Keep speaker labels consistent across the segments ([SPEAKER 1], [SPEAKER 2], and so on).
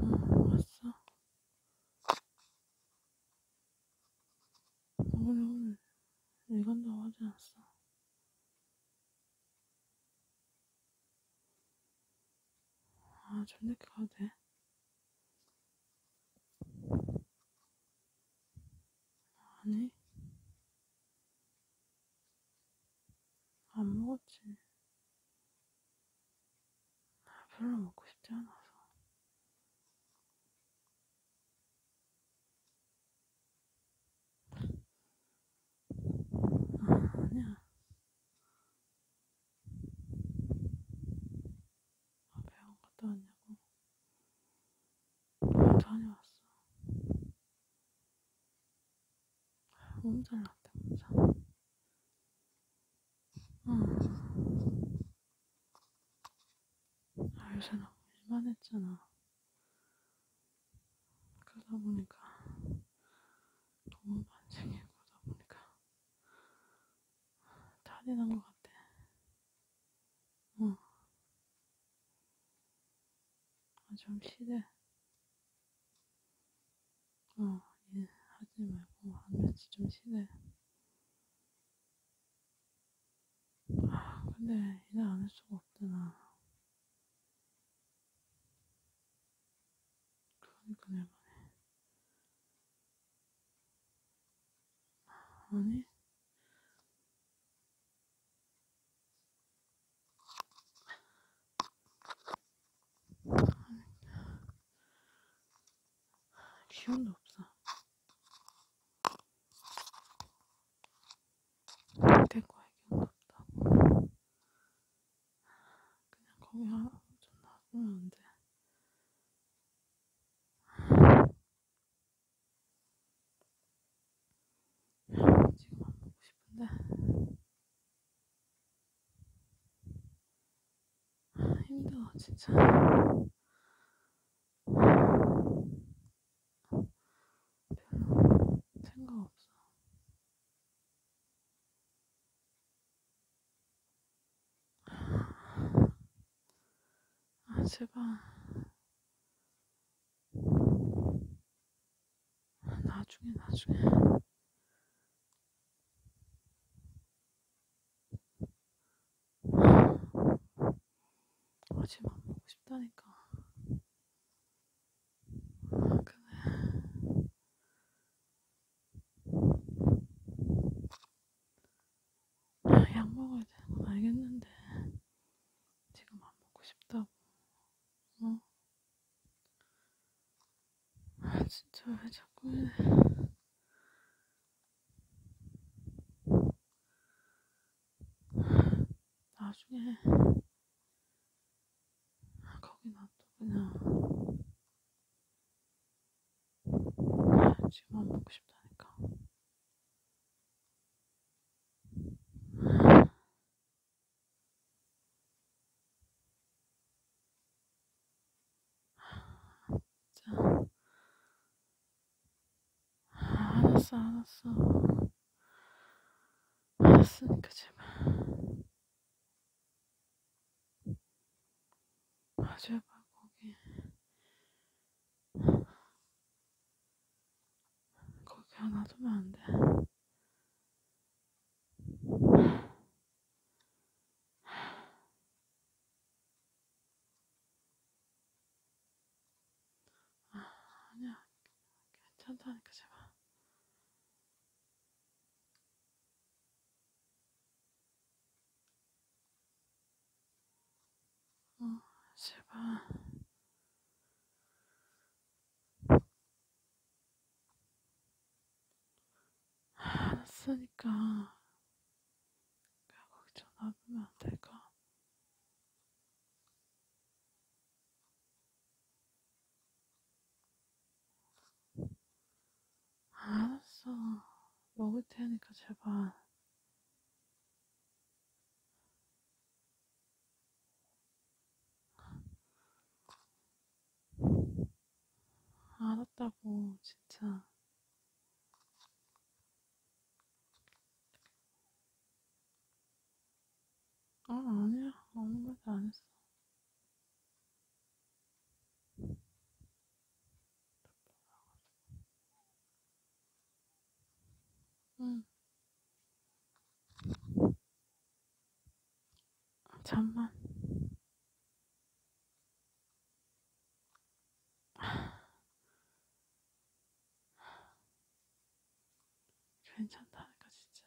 [SPEAKER 1] 응, 알았어. 너네 오늘 일 간다고 하지 않았어? 아, 저녁에 가도 돼? 아니, 안 먹었지. 별로 먹고 싶지 않아서. 아, 아니야. 아, 병원 갔다 왔냐고. 다녀왔어. 몸 잘났다, 진짜. 응. 아, 요새 너무 일만했잖아. 그러다 보니까 너무 반생이고 그러다 보니까 탈이 난것 같아. 어. 아, 좀 시대. 어, 예, 하지 말고, 한 며칠 좀 시대. 아, 근데 일을 안할 수가 없잖아. 그러니까 내가 아니, 기운도 없어. 될 거야, 기운도 없다. 그냥 거기 하나 좀 놔두면 안 돼. 지금 안 먹고 싶은데 힘들어 진짜 아, 별로 생각 없어 아, 제발. 아, 나중에, 나중에. 어제만 아, 보고 싶다니까. 아, 그래. 약 먹어야 되는 건 알겠는데 지금 안 먹고 싶다고 어? 아 진짜 왜 자꾸 이래 나중에 거기 놔둬 그냥 아, 지금 안 먹고 싶다니까 알았어, 알았어. 알았으니까 제발. 아, 제발 거기 거기 하나 두면 안 돼. 아, 아니야. 괜찮다니까, 제발. 어, 제발. 알았으니까 거기서 놔두면 안 될까? 알았어. 먹을 테니까 제발. 알았다고, 진짜. 아, 아니야. 아무 말도 안 했어. 응. 잠만. 괜찮다니까 진짜.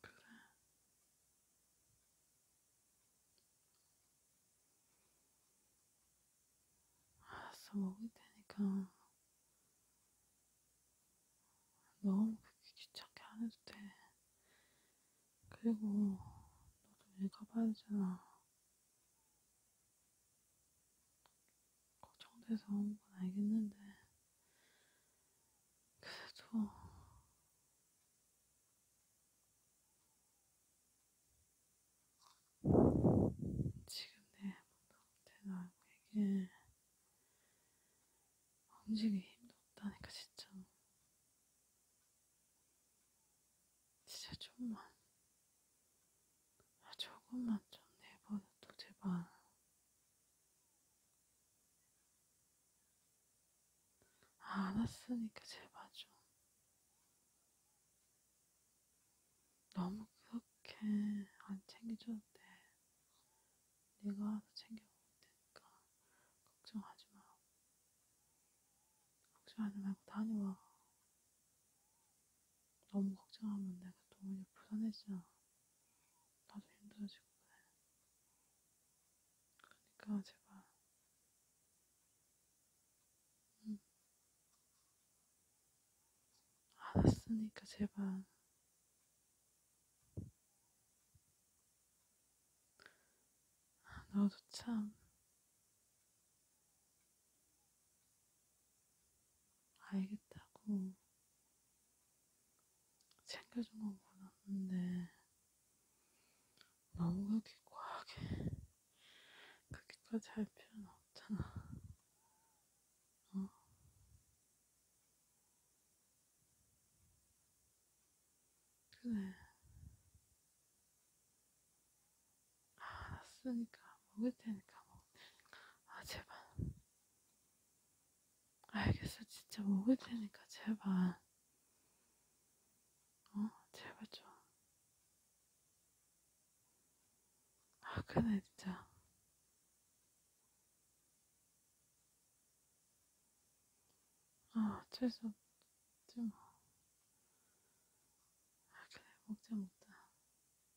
[SPEAKER 1] 그래. 알았어, 먹을 테니까. 너무 그렇게 귀찮게 안 해도 돼. 그리고 너도 일 가봐야 되잖아. 걱정돼서 온건 알겠는데 그래도 지금 내 몸도 대단하게 움직이기 힘도 없다니까 진짜 진짜 좀만 아, 조금만 좀 내버려둬 제발 알았으니까 제발 좀. 너무 그렇게 안 챙겨줘도 돼. 내가 알아서 챙겨볼 테니까 걱정하지 마. 걱정하지 말고 다녀와. 너무 걱정하면 내가 동훈이 불안해지잖아. 나도 힘들어지고 그래. 그러니까 제발. 응. 음. 알았으니까 제발. 나도 아, 참 알겠다고 챙겨준 건 몰랐는데 너무 그렇게 과하게 그렇게까지 할 필요는 없잖아. 어? 그래. 아, 알았으니까 먹을 테니까 먹을 테니까. 아, 제발. 알겠어, 진짜 먹을 테니까 제발. 어, 제발 좀. 아, 그래, 진짜. 아, 어쩔 수 없지 뭐. 아, 그래, 먹자, 먹자.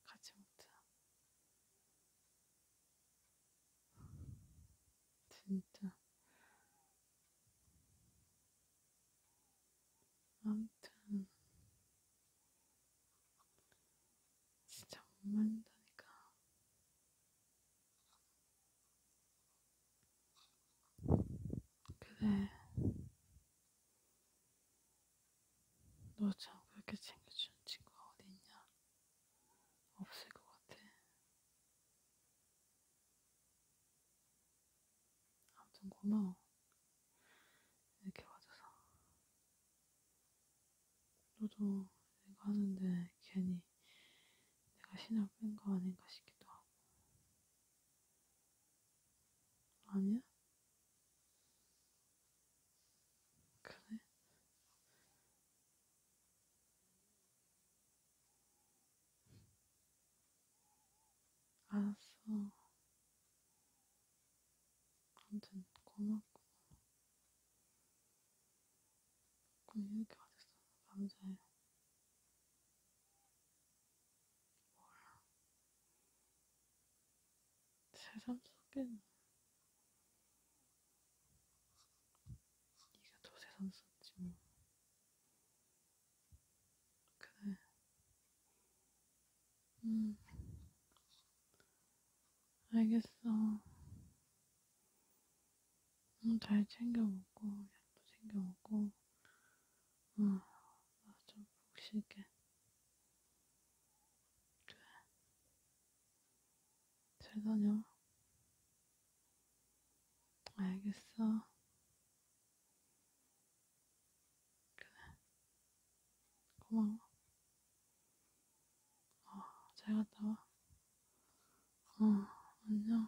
[SPEAKER 1] 가지 못해. 진짜. 아무튼 진짜 못 만든다니까. 그래. 너참 그렇게 챙겨주는 친구가 어디 있냐? 없을 것 같아. 아무튼 고마워. 이렇게 와줘서. 너도 내가 하는데 괜히 내가 신을 뺀거 아닌가 싶기도 하고. 아니야? 그래? 알았어. 아무튼 고맙고. 그럼 이렇게 어딨어, 남자예요. 뭘. 세상 속엔 네가 더 세상 썼지 뭐 그래 음 알겠어 응, 음, 잘 챙겨 먹고 약도 챙겨 먹고 어, 나좀 푹 쉴게 그래. 잘 다녀. 알겠어. 그래. 고마워. 어, 잘 갔다 와. 어, 안녕.